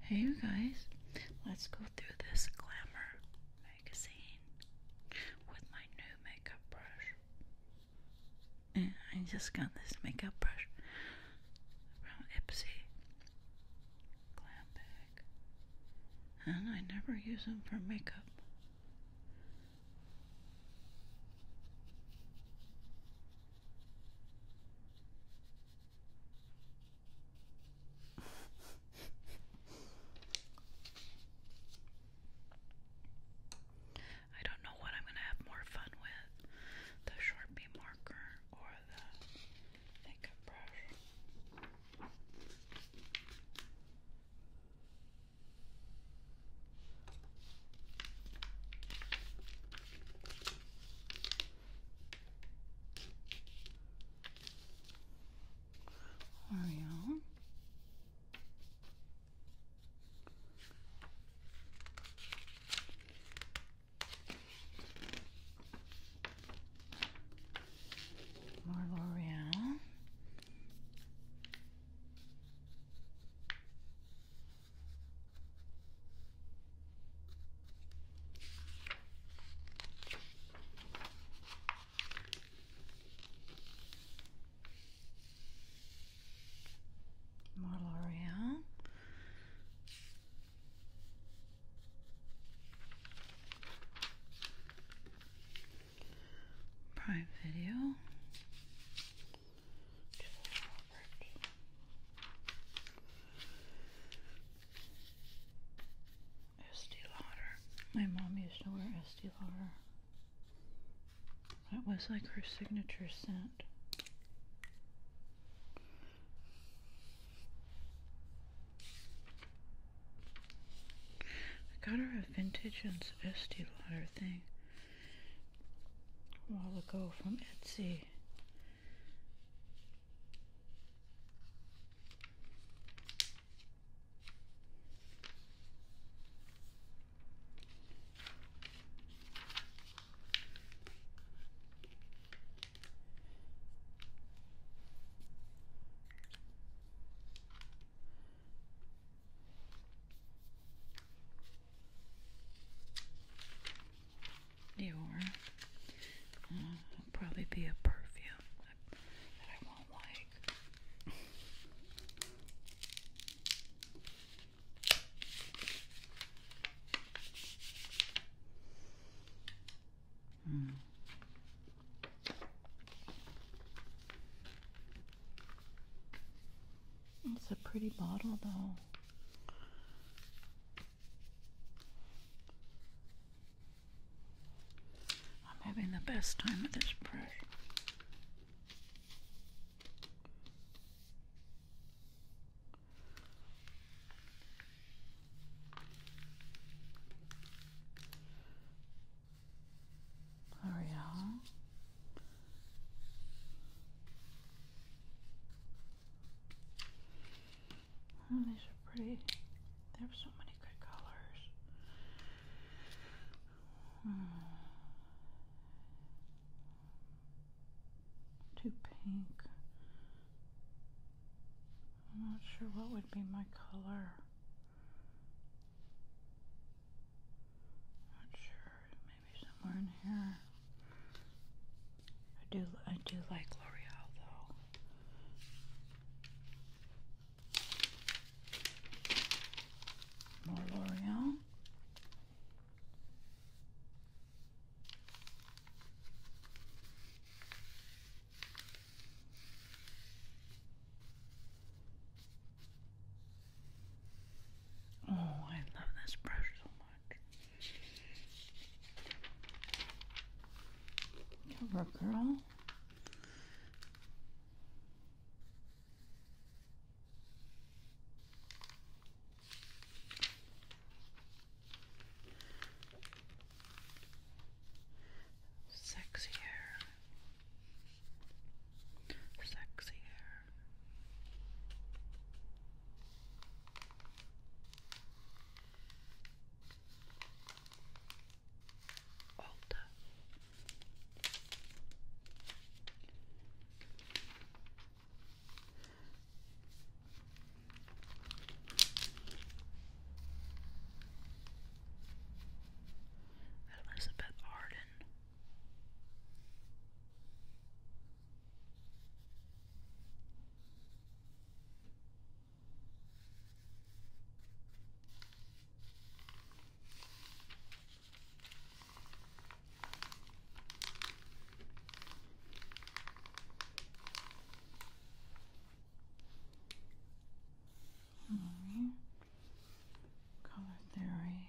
Hey you guys, let's go through this Glamour magazine with my new makeup brush. I just got this makeup brush from Ipsy Glam Bag. And I never use them for makeup. I don't know what I'm going to have more fun with the Sharpie marker or the makeup brush. Oreo. More L'Oreal. More L'Oreal. Prime Video. Estee Lauder. My mom used to wear Estee Lauder. That was like her signature scent. I got her a vintage and Estee Lauder thing a while ago from Etsy. Dior. Mm, probably be a perfume that, I won't like. mm. It's a pretty bottle, though. I'm having the best time with this brush. L'Oreal Oh, these are pretty. There are so many good colors. Hmm. Too pink. I'm not sure what would be my color. Not sure maybe somewhere in here. I do I do like L'Oreal though. More L'Oreal. Oh, I love this brush so much. Cover girl. Sexier. Sexier. Alta. Elizabeth Arden. All right. Color theory.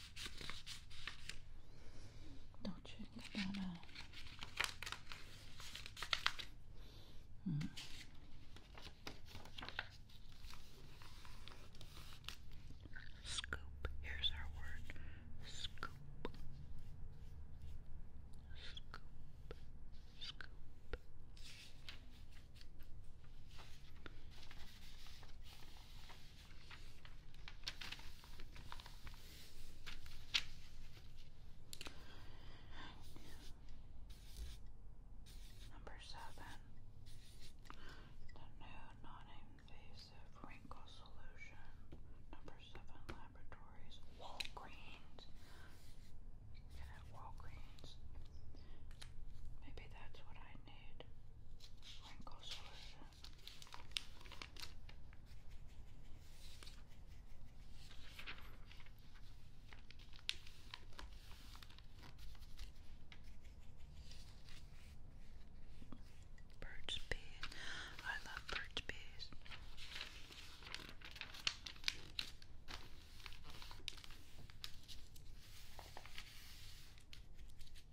Dolce & Gabbana. Hmm. Scoop. Here's our word. Scoop. Scoop. Scoop. Number seven, the new non-invasive wrinkle solution. Number seven laboratories, Walgreens. Walgreens. Maybe that's what I need. Wrinkle solution. Birch bees. I love birch bees.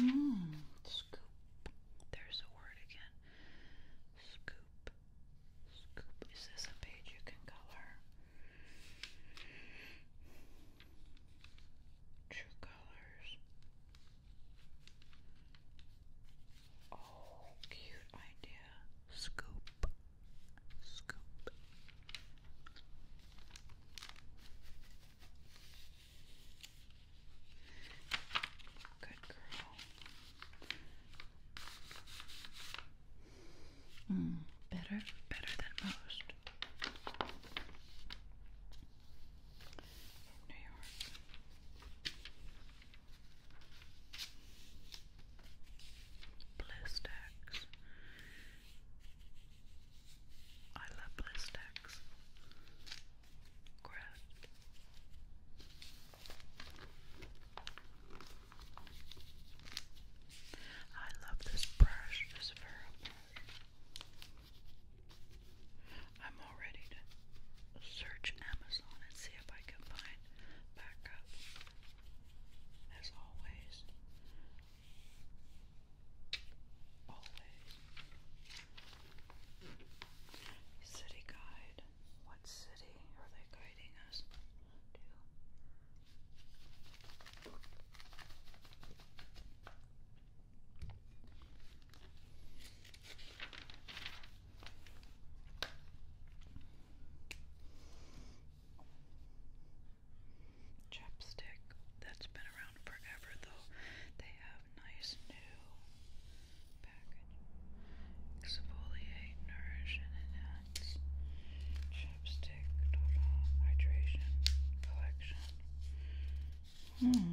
Mm, scoop. There's a word again. Scoop. Scoop. Is this a page you can color? True colors. Oh, cute idea. Scoop. Scoop. Good girl. Mm, better, better than most. New York. Blistex. I love Blistex. Gross. I love this brush, this furrow I'm all to search Amazon and see if I can find backup as always. Always. City guide. What city are they guiding us to? Chapstick that's been around forever, though they have nice new package. Exfoliate, nourish, and enhance. Chapstick total hydration collection. Hmm.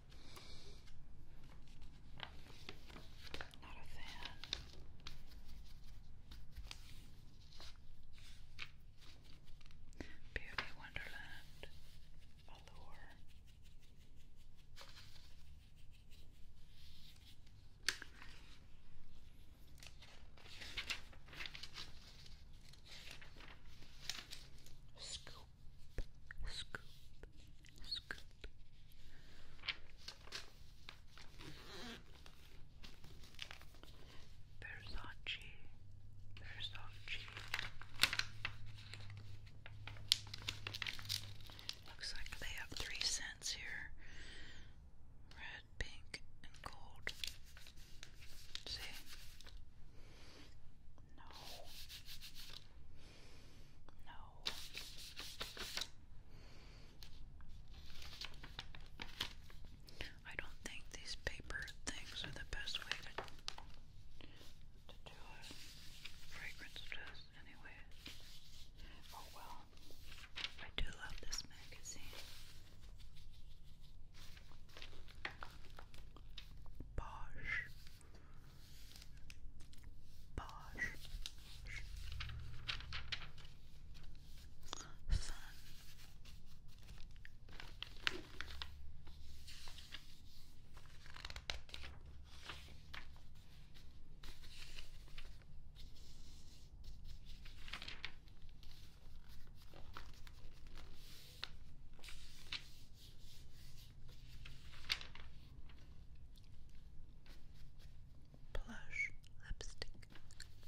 Not a Beauty Wonderland Allure. Scoop scoop, scoop. Versace, Versace. Looks like they have three scents here red, pink, and gold. See? No. No. I don't think these paper things are the best way to do a fragrance test anyway. Oh well. I do love this magazine. Bosch Bosch, Fun, Plush lipstick. Chrissy,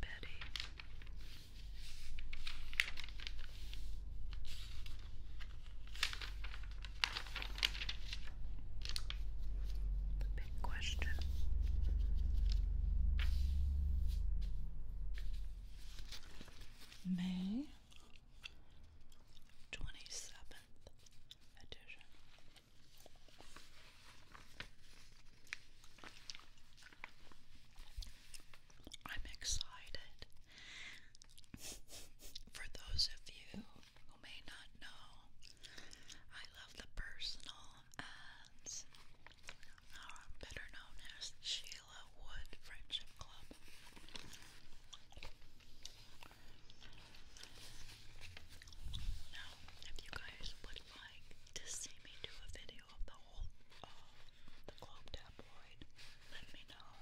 Betty. The big question. May twenty seventh edition. I'm excited. For those of you who may not know, I love the personal ads, or uh, better known as Sheila Wood Friendship Club. Now, if you guys would like to see me do a video of the whole uh, the Globe tabloid, let me know.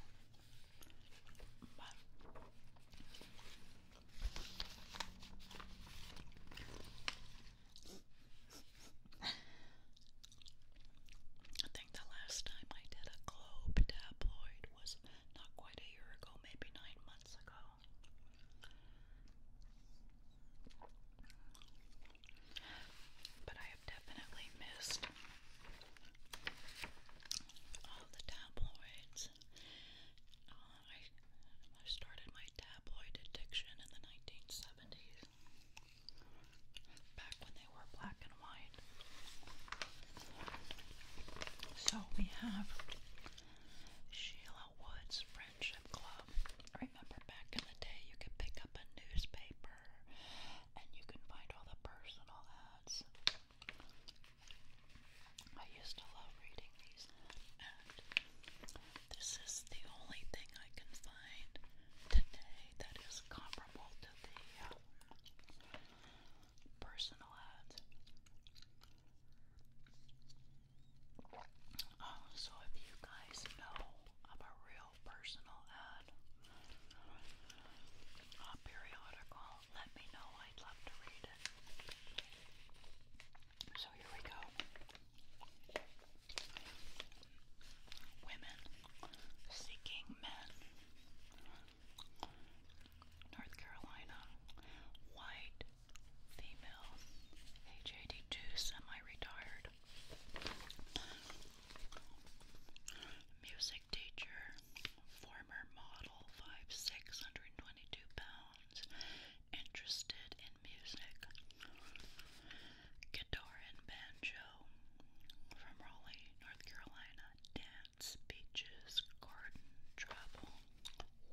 I think the last time I did a Globe tabloid was not quite a year ago, maybe nine months ago. But I have definitely missed all the tabloids. Uh, I, started my tabloid addiction in the 1970s, back when they were black and white. So we have Sheila Isle Woods Friendship Club. Remember back in the day, you could pick up a newspaper and you can find all the personal ads. I used to love reading these, and this is the only thing I can find today that is comparable to the uh, personal ads. Oh, so if you guys know of a real personal ad, a periodical, let me know. I'd love to read it. So here we go. Women seeking men. North Carolina. White female, age 82, semi-retired, music teacher, former model, 5'6", 122 pounds, interested in music, guitar and banjo, from Raleigh, North Carolina, dance, beaches, garden, travel,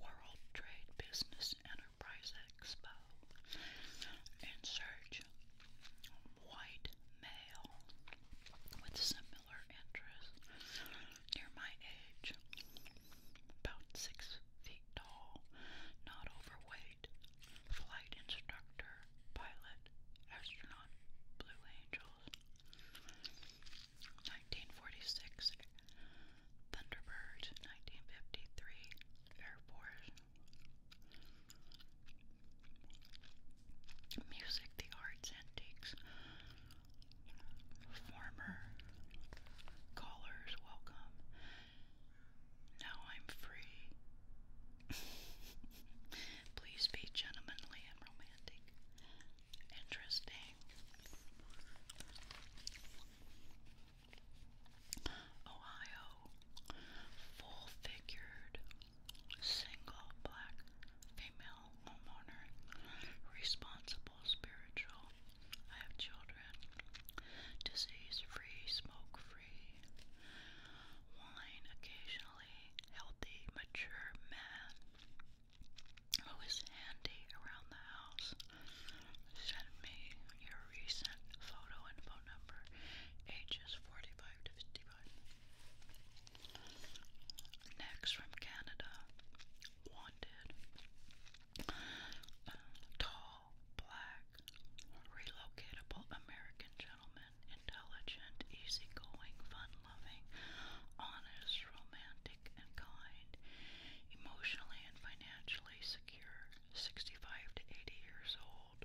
world trade, business Texas Enterprise Expo and search white male with similar interests near my age, about six feet tall, not overweight, flight instructor, pilot, astronaut, Blue Angels. 1946 Thunderbird 1953 Air Music, the Arts, Antiques Former Callers, welcome Now I'm free Please be gentlemanly and romantic Interesting Ohio, full-figured, single black female homeowner, responsible spiritual. I have children, disease-free, smoke-free, wine occasionally, healthy, mature man who is handy around the house, Send me your recent photo and phone number, ages 45 to 55. Next from Canada, wanted. Uh, tall, black, relocatable American gentleman, intelligent, easygoing, fun-loving, honest, romantic, and kind, emotionally and financially secure, 65 to 80 years old,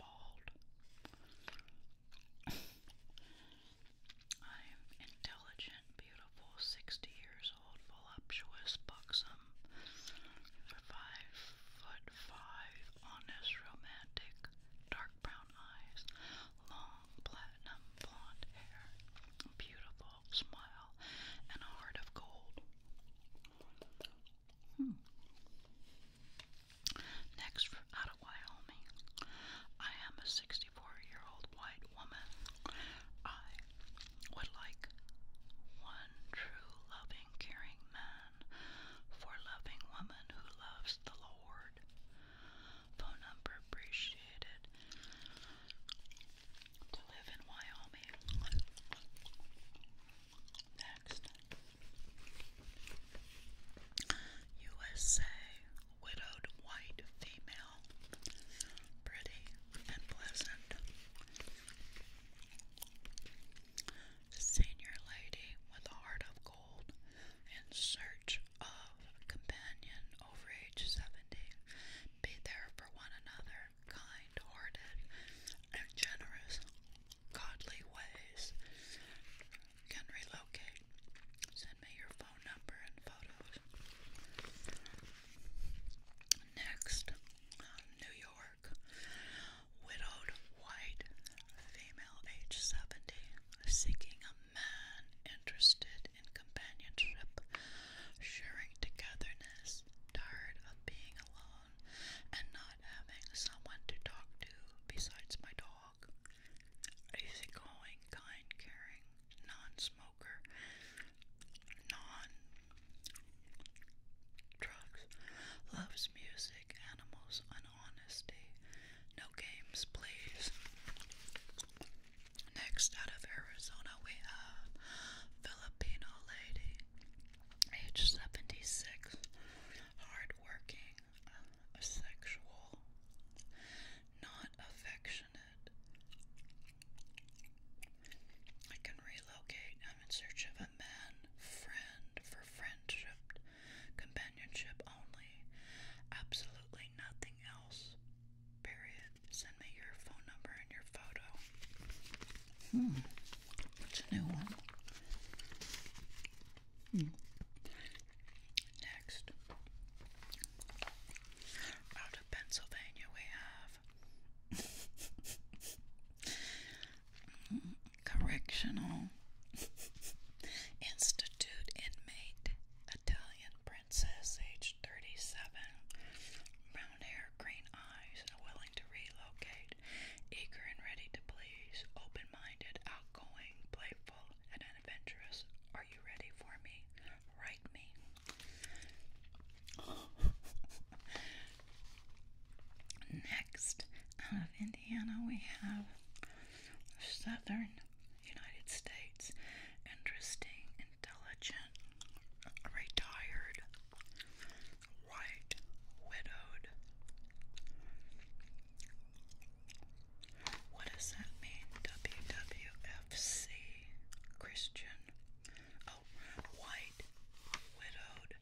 bald. I'm intelligent, beautiful, 60 years old, voluptuous, buxom, 5 foot 5, honest, romantic, dark brown eyes, long platinum blonde hair, beautiful, smile and a heart of gold. Hmm. Next, from out of Wyoming, I am a 64 year old white woman. I would like one true, loving, caring man for loving woman who loves the Lord. Phone number appreciated to live in Wyoming. Next, USA widowed white female, pretty and pleasant. Senior lady with a heart of gold in search of a companion over age 70. Be there for one another kind-hearted, and generous, godly ways. Can relocate. Send me your phone number and photos. Next, um, New York. Widowed, white, female, age 70, seeking a man interested in companionship, sharing together loneliness, tired of being alone and not having someone to talk to besides my dog. Easygoing, kind, caring, non smoker, non drugs, loves music, animals, and honesty. No games, please. Next, out of Arizona, we have Filipino lady age 76, hardworking, um, asexual, not affectionate. I can relocate. I'm in search of a man friend for friendship, companionship only. Absolutely nothing else. Period. Send me your phone number and your photo. Hmm. That's a new one. Hmm. Next, out of Pennsylvania, we have Correctional Institute inmate, Italian princess, age 37, brown hair, green eyes, willing to relocate, eager and ready to please, open minded, outgoing, playful, and adventurous. Are you ready for me? Write me. Next, out of Indiana, we have Southern United States. Interesting, intelligent, retired, White Widowed. What does that mean? WWFC Christian. Oh, White Widowed.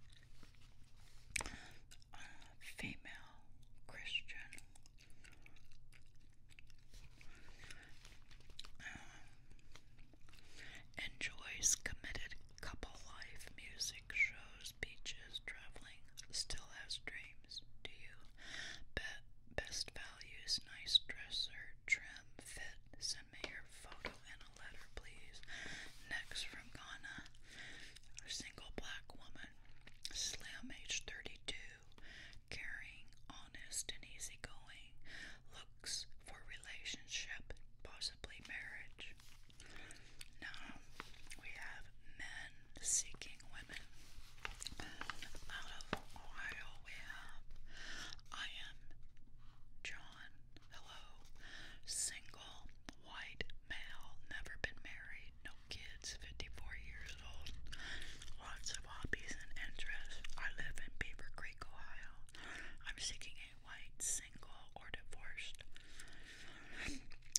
Uh, female Christian. Um, enjoys committed couple life, music, shows, beaches, traveling, still has dreams. Do you? Bet best values, nice dresser, trim, fit. Send me your photo and a letter, please. Next from Ghana, a single black woman, slim, age 32, caring, honest, and easygoing. Looks for relationship, possibly marriage. Now we have men seeking women. Out of Ohio, we have I am John, hello, single, white, male, never been married, no kids, 54 years old, lots of hobbies and interests. I live in Beaver Creek, Ohio. I'm seeking a white, single, or divorced.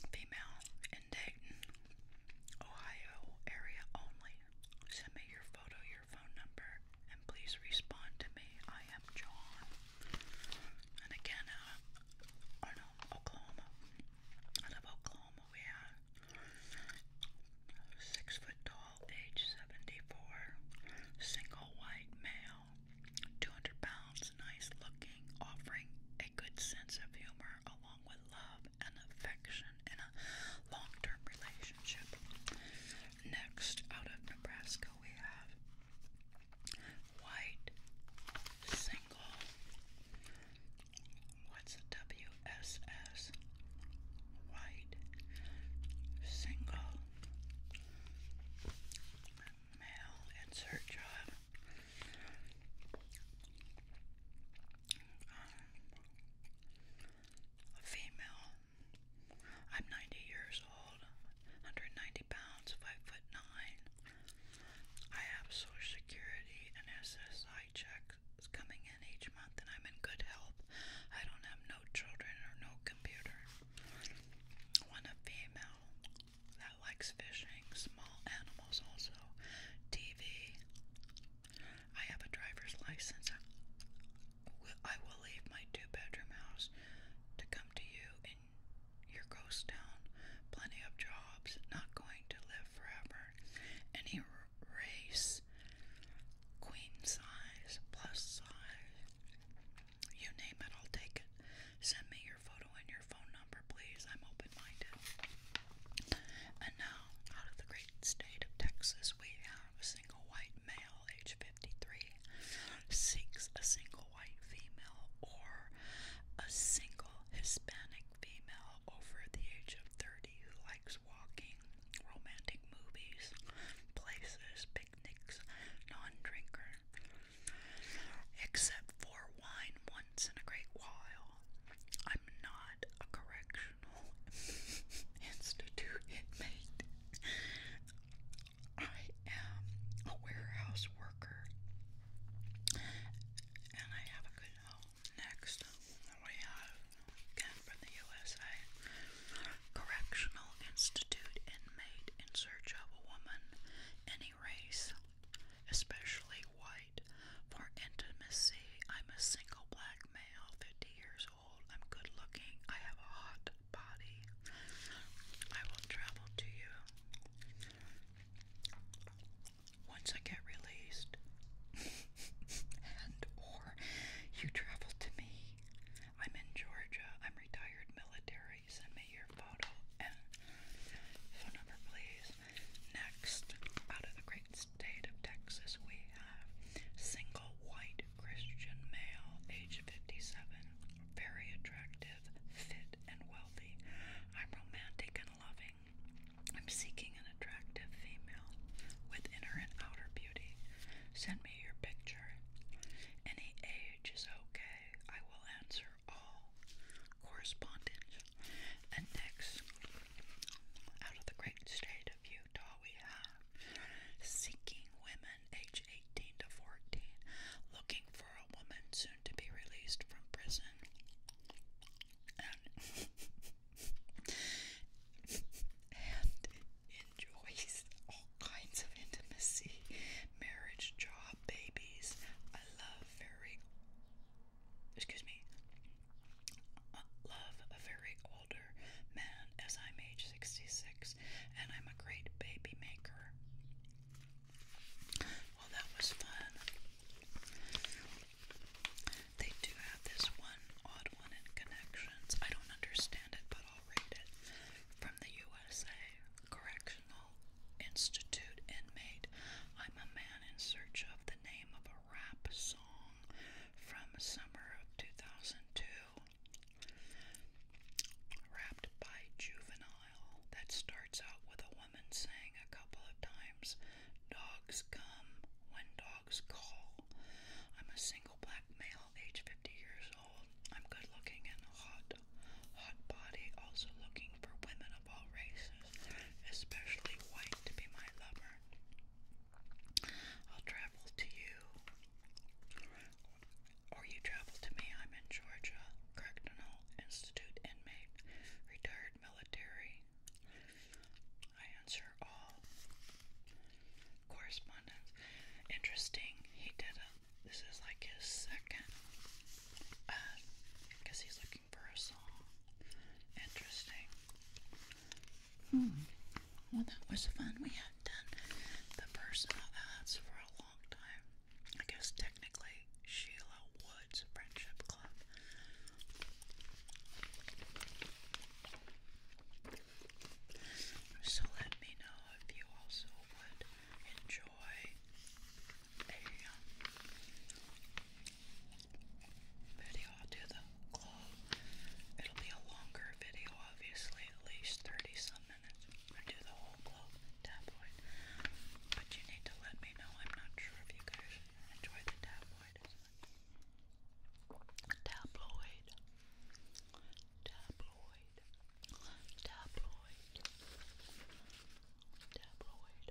Female in Dayton, Ohio area only. Send me your photo, your phone number, and please respond to me. I am John. And again, uh, oh no, Oklahoma. Out of Oklahoma, we have six foot tall, age 74, single white male. 200 pounds, nice looking, offering a good sense of humor along with love and affection in a long term relationship. Next, out of Nebraska, we have White Single. What's WSS? White Single. Male insert job. Um, a female. I'm 90 years old, 190 pounds, 5 foot 9. I have Social Security and SSI checks coming in each month, and I'm in good health. I don't have no children or no computer. One a female that likes fishing, small animals also, TV. I have a driver's license. I will leave my two bedroom house to come to you in your ghost town. Plenty of jobs, not going to live forever. Any race, queen size, plus size. You name it, I'll take it. Send me your photo and your phone number, please. I'm open minded. And now, out of the great state of Texas, we have a single white male, age 53, seeks a single white female or a single Hispanic female over the age of 30 who likes walking, romantic movies, places, big picnics, non-drinker, except for wine once in a great while. I'm not a correctional institute inmate. I am a warehouse worker, and I have a good home. Next, we have again from the USA Correctional Institute inmate in search of a woman, any race, especially white, for intimacy. I'm a single black male, 50 years old. I'm good looking. I have a hot body. I will travel to you once I get released, and or you travel to me. I'm in Georgia. I'm retired military. Send me your photo and phone number, please. Next, out of the great state of Texas, we have single white Christian male, age 57, very attractive, fit, and wealthy. I'm romantic and loving. I'm seeking an attractive female with inner and outer beauty. Send me your picture. Any age page is okay. I will answer all correspondence. And next, out of the great state of Utah, we have seeking women age 18 to 14, looking for a woman soon to be released from prison. enjoys all kinds of intimacy, marriage, job, babies. I love very, excuse me, love a very older man as I'm age 66 and I'm a great baby maker. Well, that was fun. They do have this one odd one in connections. I don't understand it, but I'll read it. From from the USA Correctional Institute inmate. I'm a man in search of the name of a rap song from summer of 2002. Rapped by Juvenile that starts out with a woman saying a couple of times, Dogs come when dogs call. I'm a single black male age 50 years old. I'm good looking and hot, hot body. Also looking for women of all races, especially white, to be my lover. I'll travel to you, or you travel to me. I'm in Georgia, Cracknell Institute inmate, retired military. I answer all correspondence. Interesting. He did a this is like his second because uh, he's looking for a song. Interesting. Hmm. Well, that was fun. We have done the personal ads for a long time. I guess technically Sheila Woods Friendship Club. So let me know if you also would enjoy a um, video. i the globe. It'll be a longer video, obviously, at least 30 some minutes. i do the whole globe tabloid. But you need to let me know. I'm not sure if you guys enjoy the tabloid Tabloid. Tabloid tabloid, tabloid.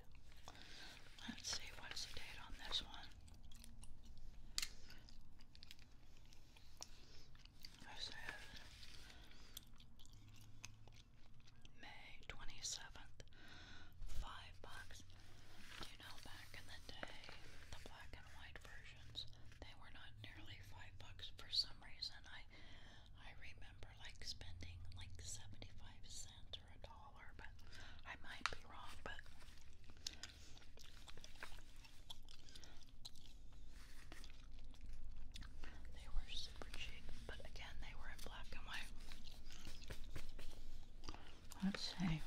Let's see what's the date on this one. This is May twenty seventh. Five bucks. you know back in the day, the black and white versions they were not nearly five bucks for some reason. I I remember like spending like seventy five cents or a dollar, but I might be wrong, but they were super cheap, but again they were in black and white. Let's see.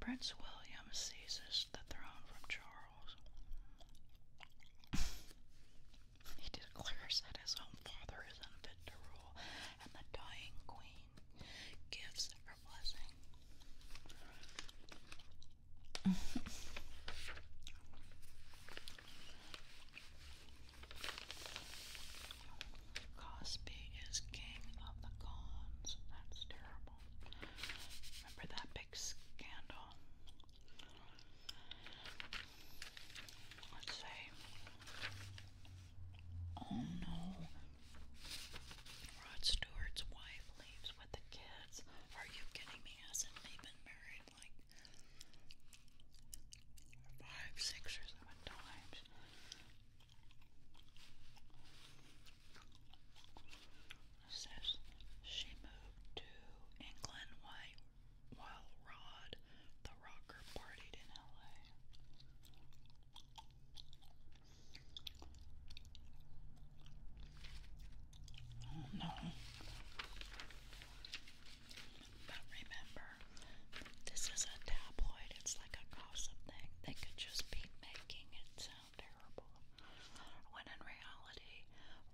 Prince William seizes the throne from Charles. he declares that his own father is unfit to rule, and the dying queen gives her blessing. Cosby is king of the cons. That's terrible. Remember that big scandal? Let's say, oh no, Rod Stewart's wife leaves with the kids. Are you kidding me? Hasn't he been married like five, six, or seven times? says she moved to England while Rod, the rocker, partied in LA. no. But remember, this is a tabloid, it's like a gossip thing. They could just be making it terrible, when in reality,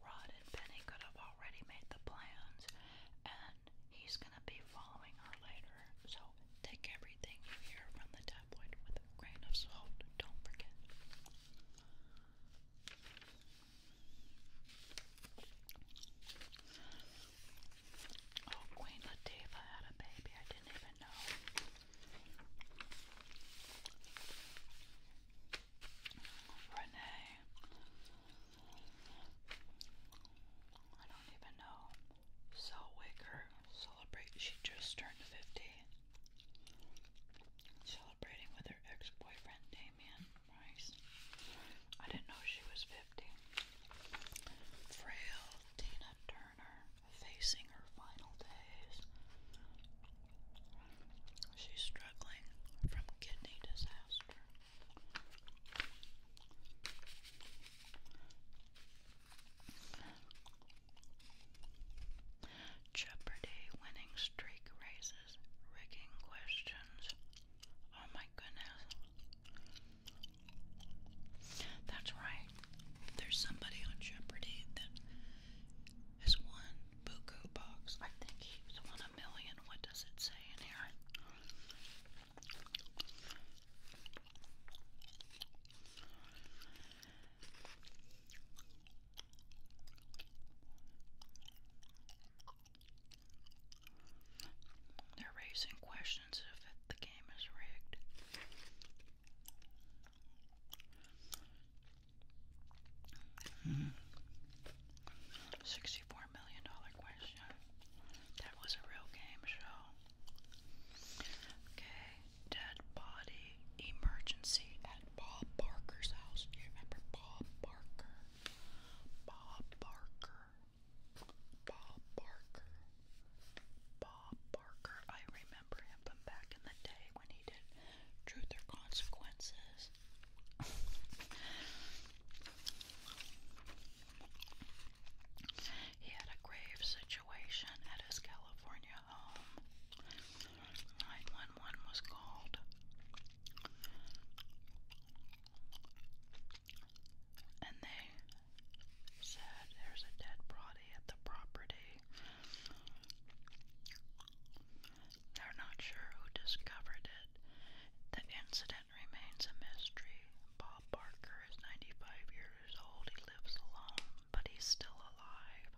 Rod and Penny could have already made the plans, and he's going to be following her later. So take everything you hear from the tabloid with a grain of salt. Don't forget. Oh, Queen Latifah had a baby. I didn't even know. Renee. I don't even know. Sal Waker She just turned 50. Celebrating with her ex-boyfriend Damien Rice. I didn't know she was 50. Frail Tina Turner facing her final days. She's struggling from kidney disaster. Jeopardy winning streak raises rigging questions. Oh my goodness. That's right right. There's somebody on Jeopardy that has won Buku Box. I think he's won a million. What does it say in here? They're raising questions if it, the game is rigged. Sixty-four million dollar question. That was a real game show. Okay, dead body emergency at Bob Barker's house. Do you remember Bob Barker? Bob Barker. Bob Barker. Bob Bob Barker. I remember him from back in the day when he did Truth or Consequences. he had a grave situation at his California home. 911 was called. And they said there's a dead body at the property. They're not sure who discovered it. The incident remains a mystery. Bob Barker is 95 years old. He lives alone, but he's still alive.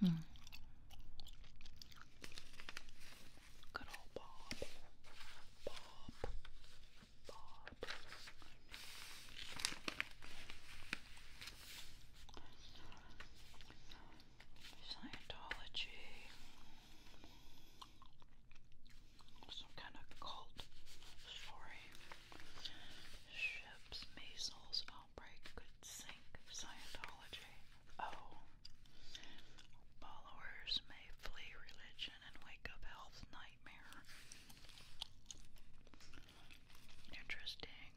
Hmm. Good old Bob. Bob. Scientology. Some kind of cult story. Ships, measles, outbreak could sink Scientology. Oh. Followers may flee religion and wake up health nightmare. Interesting.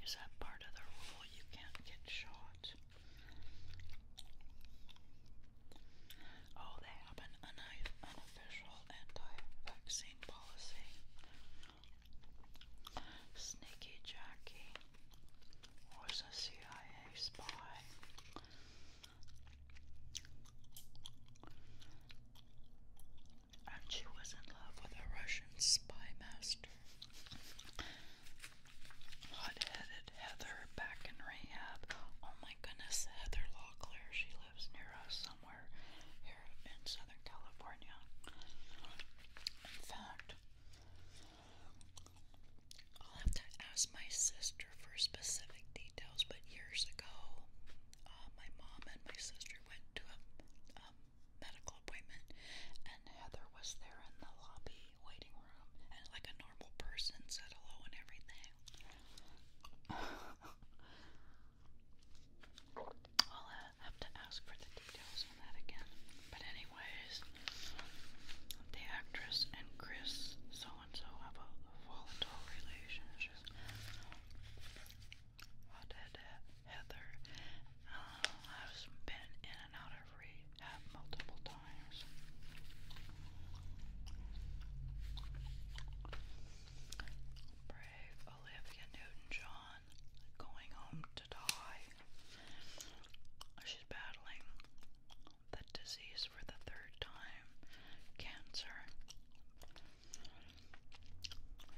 Is that part of the rule? You can't get shot. Oh, they have an unofficial anti-vaccine policy. Sneaky Jackie was a CIA spy and she was in love with a Russian spy master. Hot headed Heather back in rehab. Oh my goodness, Heather Locklear. She lives near us somewhere here in Southern California. In fact, I'll have to ask my sister for specific details details, but years ago, uh, my mom and my sister went to a um, medical appointment, and Heather was there in the lobby waiting room, and like a normal person said hello and everything. I'll uh, have to ask for the details on that again. But anyways, the actress and Chris saw and so have a volatile relationship. What did Heather has uh, been in and out of rehab multiple times. Brave Olivia Newton-John going home to die. She's battling the disease for the third time cancer.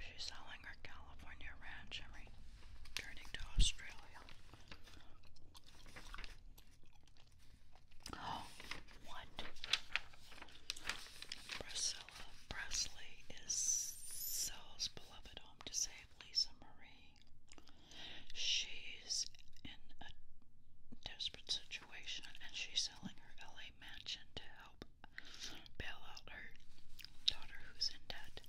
She's selling her California ranch and returning to Australia. Oh, what? Priscilla Presley is Sal's beloved home to save Lisa Marie. She's in a desperate situation and she's selling her LA mansion to help bail out her daughter who's in debt.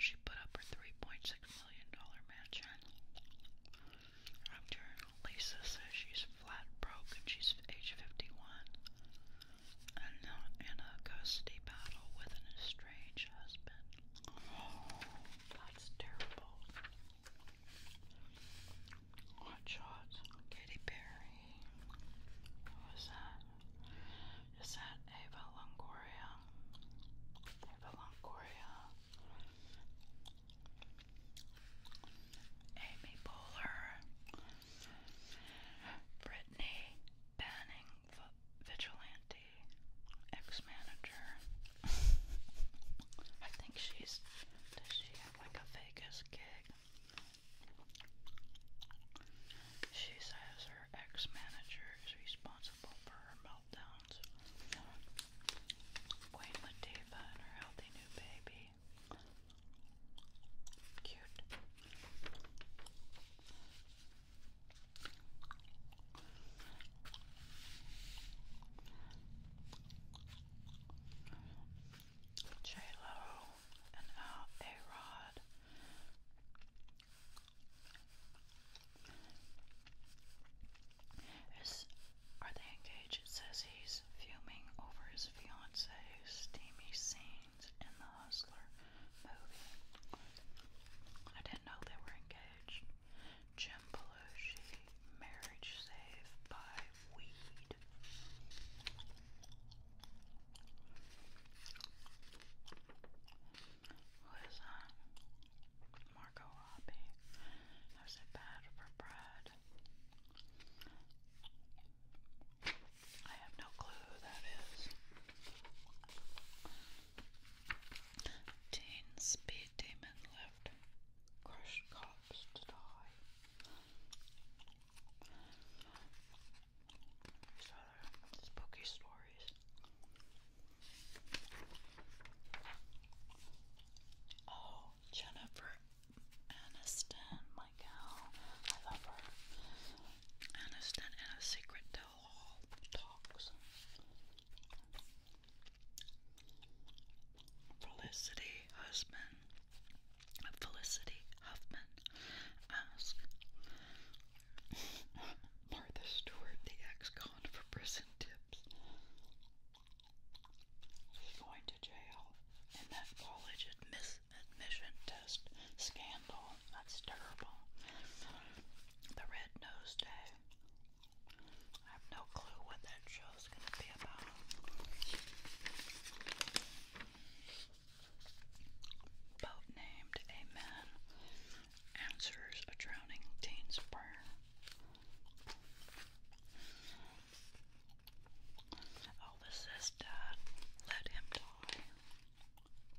She put up her $3.6 million mansion after Lisa says she's flat broke and she's age 51 and not in a custody battle with an estranged husband. that's terrible. Watch out, Katy Perry. Who is that? Is that Ava Longoria? Ava Longoria. Amy Poehler. Brittany Banning vigilante ex-manager. I think she's. Does she have like a Vegas gig? She says her ex-manager is responsible for her meltdowns. Queen Latifah and her healthy new baby. Cute. J Lo and Al A Rod. Is are they engaged? It says he's fuming over his fiance's steamy scene in the Hustler movie. I didn't know they were engaged. Jim Belushi, marriage saved by weed. Who is that? Marco Robbie. was a bad for pride. I have no clue who that is. Teen speed demon left crushed cops to die. These other spooky stories. Oh, Jennifer Aniston, my gal. I love her and a secret tell-all talks. Felicity husband, Felicity Huffman asked Martha Stewart, the ex-con, for prison tips. She's going to jail, and that college admits admission test scandal. That's terrible. The Red Nose Day. I have no clue what that show's going to be about. Boat named Amen answers a drowning teen's prayer. Oh, this is Let him die.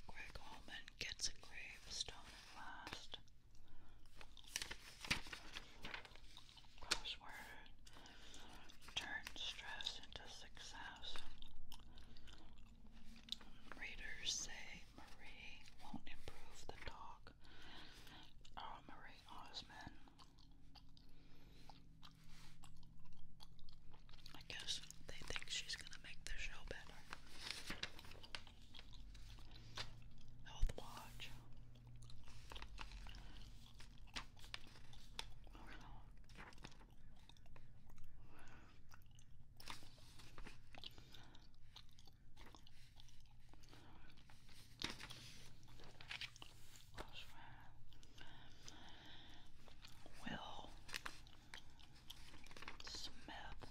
Greg Allman gets a gravestone at last. Crossword turns stress into success. Readers say Marie won't improve the dog. Oh, Marie Osmond. I guess they think she's gonna make the show better. Health Watch. Oh, Smith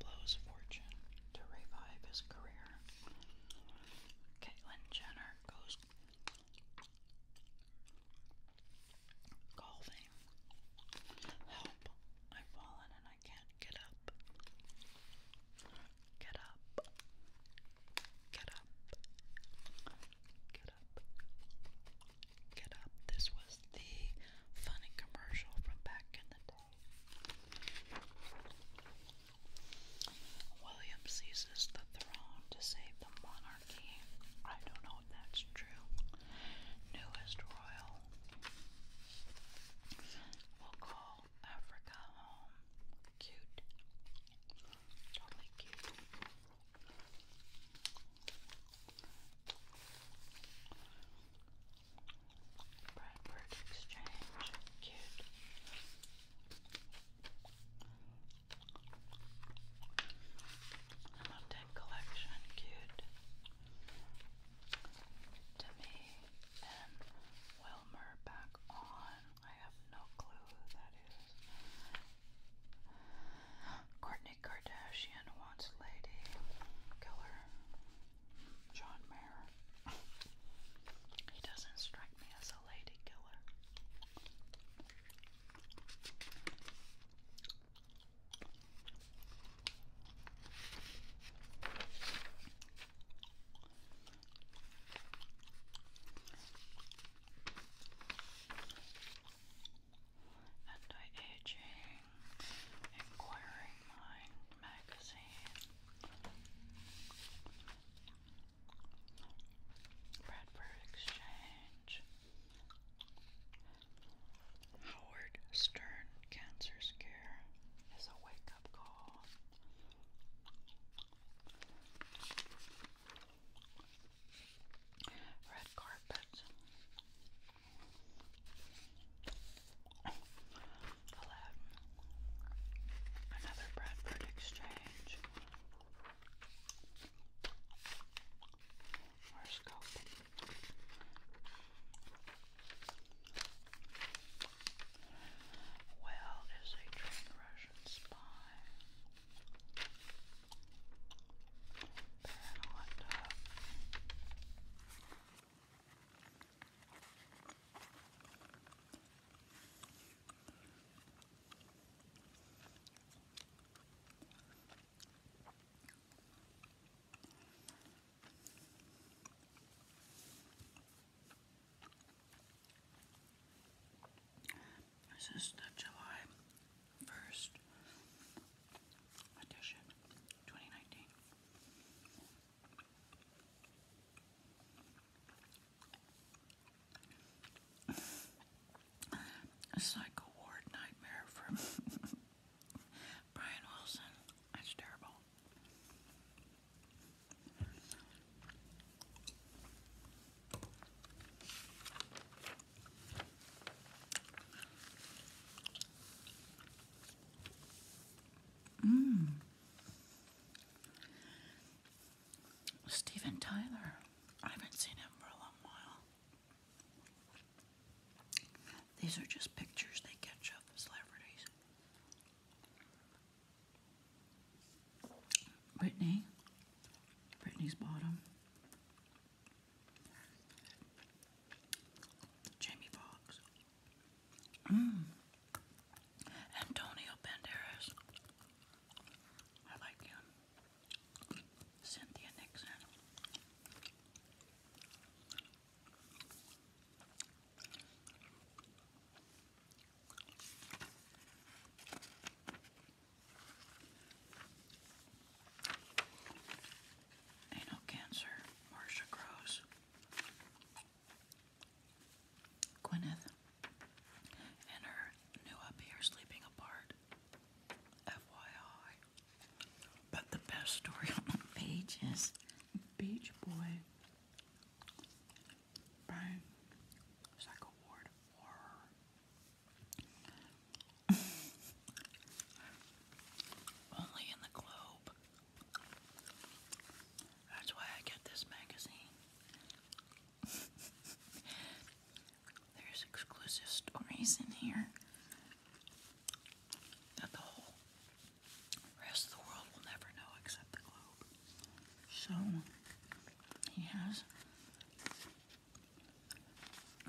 blows fortune to revive his career. Caitlyn Jenner goes golfing. Help! I've fallen and I can't get up. Get up. Get up. Get Get up. This was the funny commercial from back in the day. William seizes the throne to save the monarchy. I don't know if that's true. Newest royal will call Africa home. Cute. Totally cute. Bradford Exchange, cute. Hamilton Collection, cute. To me and Wilmer back on. I have no clue who that is. Courtney Kardashian wants lady killer. John Mayer. he doesn't strike me as a lady killer. Anti-Aging Inquiring Mind magazine. Bradford Exchange. Howard Stern Cancer Scare is a wake-up call red carpet Aladdin another Bradford exchange horoscope well is a trained Russian spy and a This is July first edition, 2019. A psycho ward nightmare from Brian Wilson. That's terrible. Mm. Steven Tyler. I haven't seen him for a long while. These are just pictures they catch up as celebrities. Brittany. Brittany's bottom. Jamie Foxx. Mm. Antonio Banderas. I like him. Cynthia Nixon. Anal cancer, Marcia Groves. Gwyneth and her new up here sleeping apart. FYI. But the best story on the page is Beach Boy. Brian Psycho Ward Horror. Only in the globe. That's why I get this magazine. There's exclusive stories in here that the whole rest of the world will never know except the globe. So he has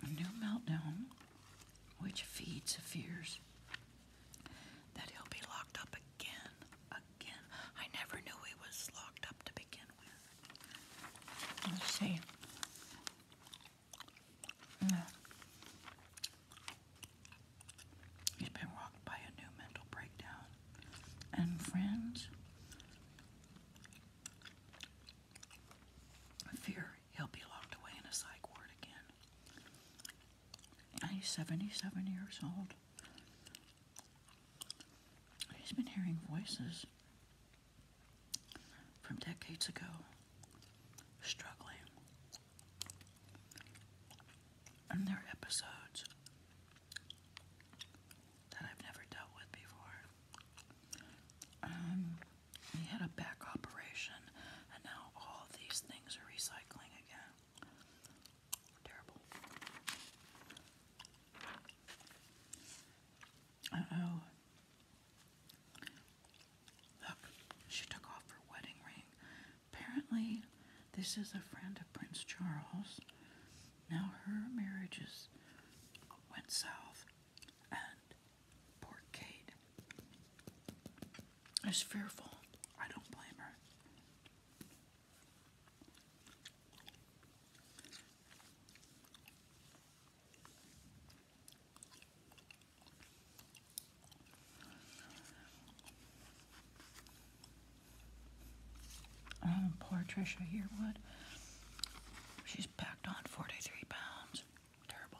a new meltdown, which feeds the fears that he'll be locked up again. Again. I never knew he was locked up to begin with. Let's see. No. Mm. He's been rocked by a new mental breakdown. And friends, fear he'll be locked away in a psych ward again. he's 77 years old. He's been hearing voices from decades ago, struggling. And there are episodes that I've never dealt with before. Um, he had a back operation, and now all these things are recycling again. Terrible. Uh oh. Look, she took off her wedding ring. Apparently, this is a friend of Prince Charles. Now her marriages went south, and Poor Kate. Is fearful. I don't blame her. Oh, poor Trisha here. Yearwood. She's packed on 43 pounds. Terrible.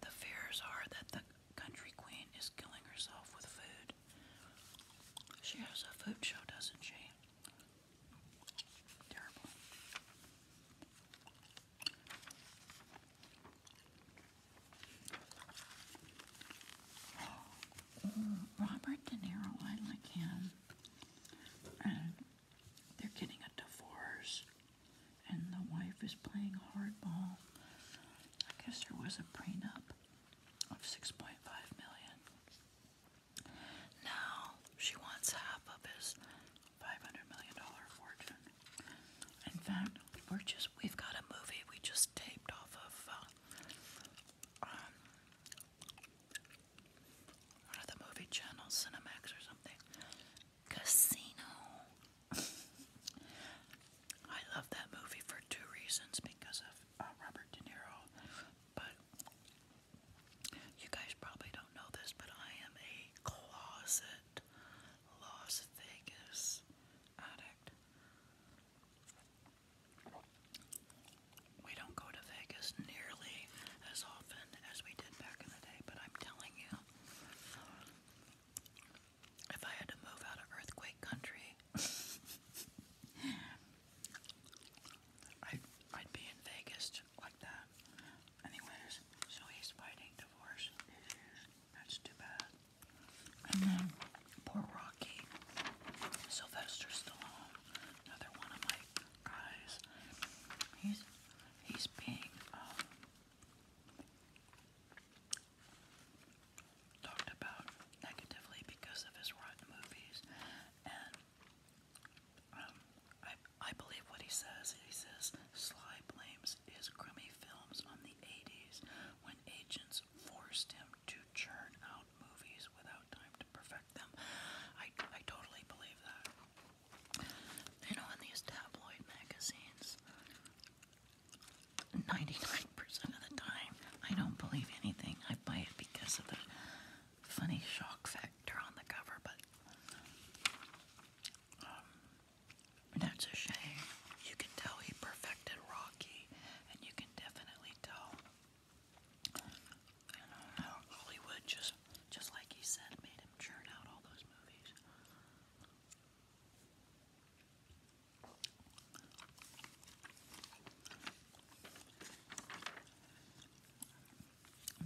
the fears are that the country queen is killing herself with food. She has a food show, doesn't she? Terrible. Robert De Niro, I like him and uh, they're getting a divorce, and the wife is playing hardball. I guess there was a prenup of 6.5 million. Now she wants half of his 500 million dollar fortune. In fact, we're just we've got a movie we just taped off of uh, um, one of the movie channels, Cinemax or something. Casino. I love that movie for two reasons because of uh, Robert De Niro, but you guys probably don't know this, but I am a closet Las Vegas addict. We don't go to Vegas nearly as often as we did back in the day, but I'm telling you, if I had to move out of earthquake country, I'd, I'd be in Vegas like that. Anyways, so he's fighting divorce That's too bad. And then poor Rocky, Sylvester Stallone another one of my guys. He's he's being um, talked about negatively because of his rotten movies, and um, I I believe what he says. He says Sly blames his crummy films on the '80s when agents forced him to churn out movies without time to perfect them. I, I totally believe that. You know, in these tabloid magazines, 99% of the time, I don't believe anything. I buy it because of the funny shock factor on the cover, but um, that's a shame. You can tell he perfected Rocky, and you can definitely tell Hollywood just, just like he said, made him churn out all those movies.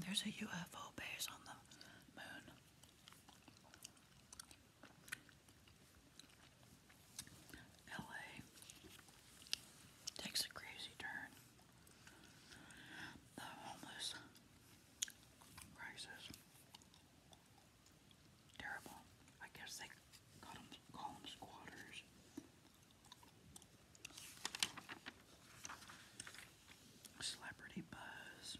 There's a UFO base on the moon. LA takes a crazy turn the homeless crisis. Terrible. I guess they call them, squatters. Celebrity buzz.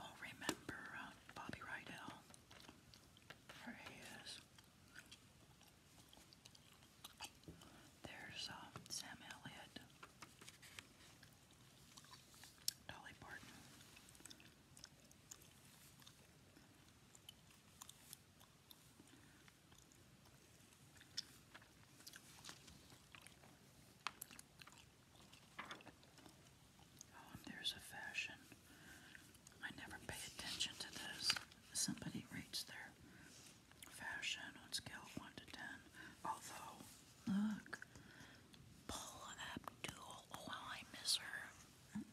Oh, remember uh, Bobby Rydell? There he there's um, Sam Elliott, Dolly Parton. Oh, there's a fashion I never pay attention to those. Somebody rates their fashion on scale 1 to 10. Although, look, Paula Abdul. Oh, I miss her.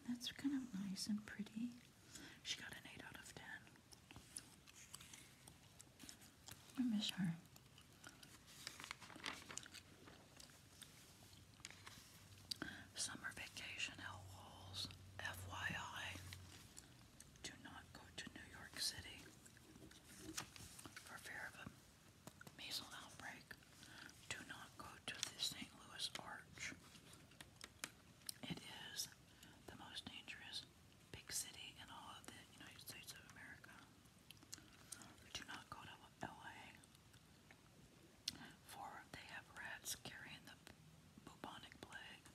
that's kind of nice and pretty. She got an 8 out of 10. I miss her. Summer vacation, L Walls, FYI. Do not go to New York City for fear of a measles outbreak. Do not go to the St. Louis Arch. It is the most dangerous big city in all of the United States of America. Do not go to LA for they have rats carrying the bubonic plague.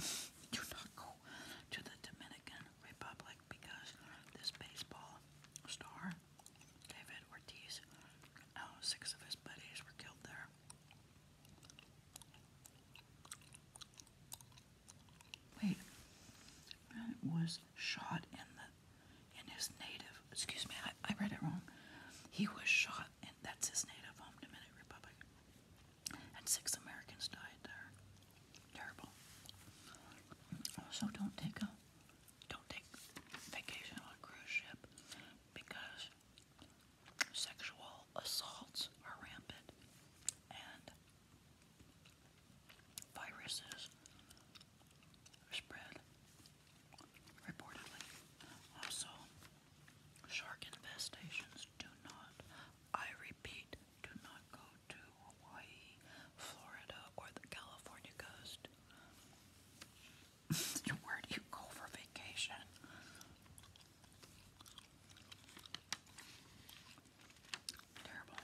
Do not go to the Dominican Republic because this baseball star, David Ortiz, oh, six of his buddies were killed there. Wait, was shot in the in his native. Excuse me, I, I read it wrong. He was shot and that's his native home, Dominican Republic. And six Americans died there. Terrible. Also, don't take a don't take vacation on a cruise ship because sexual assaults are rampant and viruses spread reportedly. Also, Shark infestations do not, I repeat, do not go to Hawaii, Florida, or the California coast. Where do you go for vacation? Terrible.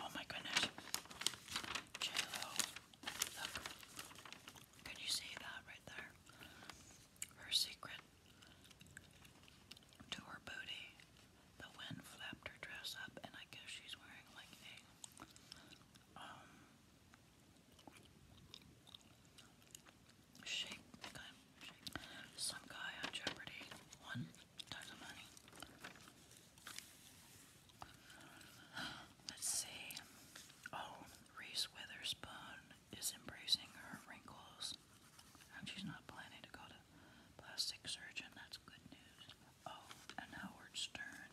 Oh my goodness. Can you see that right there? Her secret to her booty. The wind flapped her dress up and I guess she's wearing like a um Some guy on Jeopardy won Let's see. Oh, Reese Witherspoon is embracing her wrinkles. And she's not planning to go to plastic surgeon. That's good news. Oh, and Howard Stern.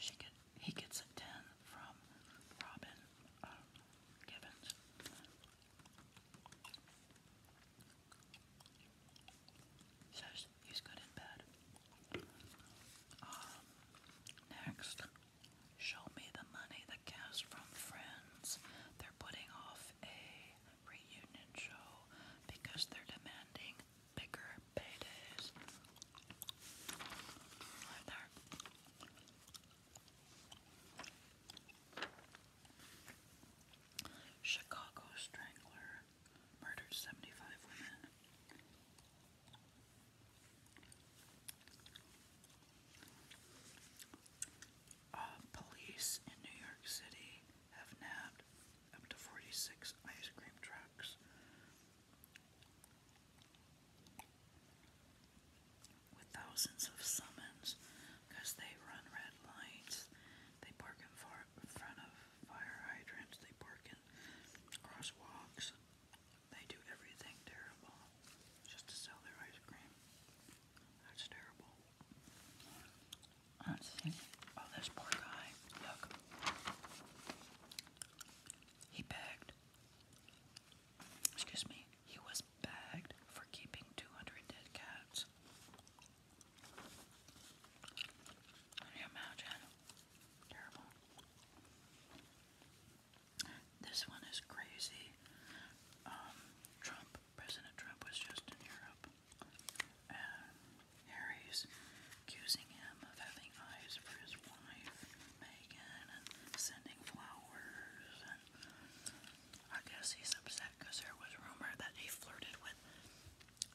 She get, he gets a 10 from Robin uh, Gibbons he's good in bed. Um, next, show me the money the cast from Friends. They're putting off a reunion show because they're demanding bigger paydays. Right there. Chicago Strangler murdered 75 women. Uh, police in New York City have nabbed up to 46 ice cream trucks with thousands of summons because they run red lights they park in, front of fire hydrants. They park in crosswalks. They do everything terrible just to sell their ice cream. That's terrible. Oh, this poor guy. Look. He begged. Excuse me. He was bagged for keeping 200 dead cats. Can you imagine? Terrible. This one is crazy. Um, Trump, President Trump was just in Europe. And Harry's accusing him of having eyes for his wife, Megan, and sending flowers I guess he's upset because there was a rumor that he flirted with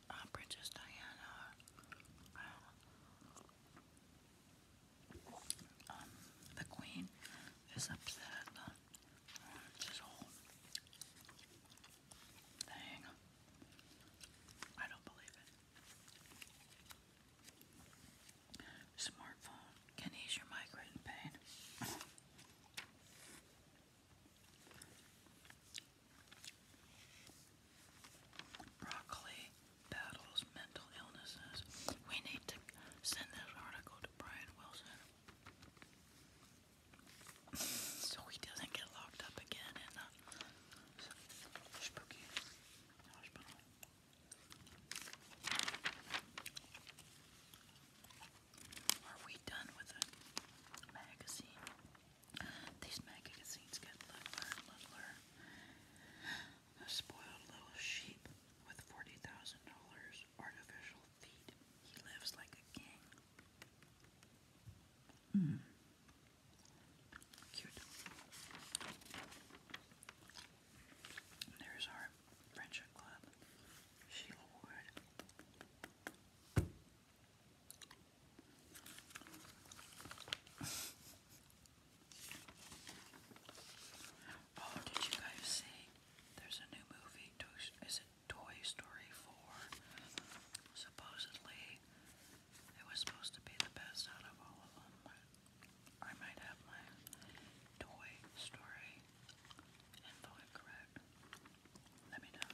uh, Princess Diana. Um, the Queen is upset. Uh, this whole thing. I don't believe it. Smartphone can ease your migraine pain. Broccoli battles mental illnesses. We need to send this article to Brian Wilson so he doesn't get locked up again in spooky are we done with a magazine? These magazines get littler and littler. A spoiled little sheep with $40,000 artificial feet. He lives like a king. Mm. Cute. There's our friendship club. Sheila Wood. Oh, did you guys see? There's a new movie. Is it Toy Story 4? Supposedly, it was supposed to be the best out of all of them. I might have my Toy Story and correct, let me know.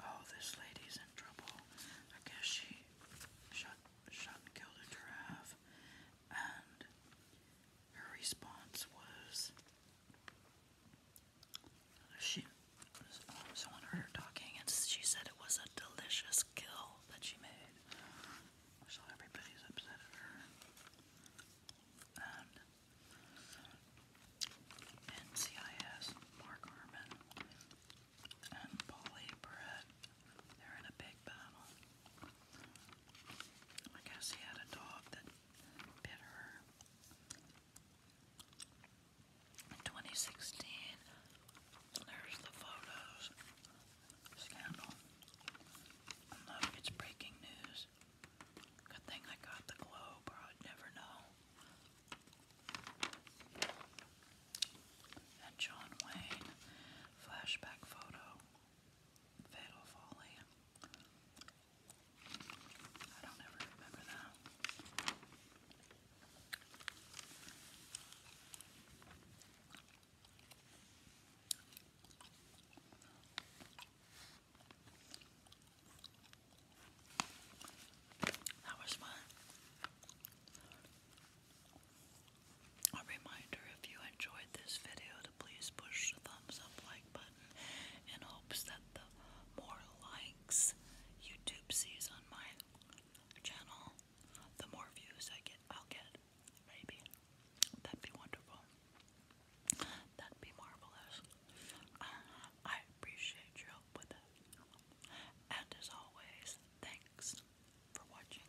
Oh, this lady's in trouble. I guess she shot, shot and killed a giraffe, and her response was she um, someone heard her talking and she said it was a delicious kill that she made. So everybody's upset at her. And NCIS, Mark Harmon, and Polly Brett they're in a big battle. I guess he had a dog that bit her. 2016, there's the photos scandal. look, it's breaking news. Good thing I got the globe, or I'd never know. And John Wayne, flashback photo. Fatal Folly. I don't ever remember that. That was fun. A reminder if you enjoyed this video to please push the thumbs up like button in hopes that the more likes YouTube sees on my channel, the more views I get I'll get. Maybe. That'd be wonderful. That'd be marvelous. I appreciate your help with it. And as always, thanks for watching.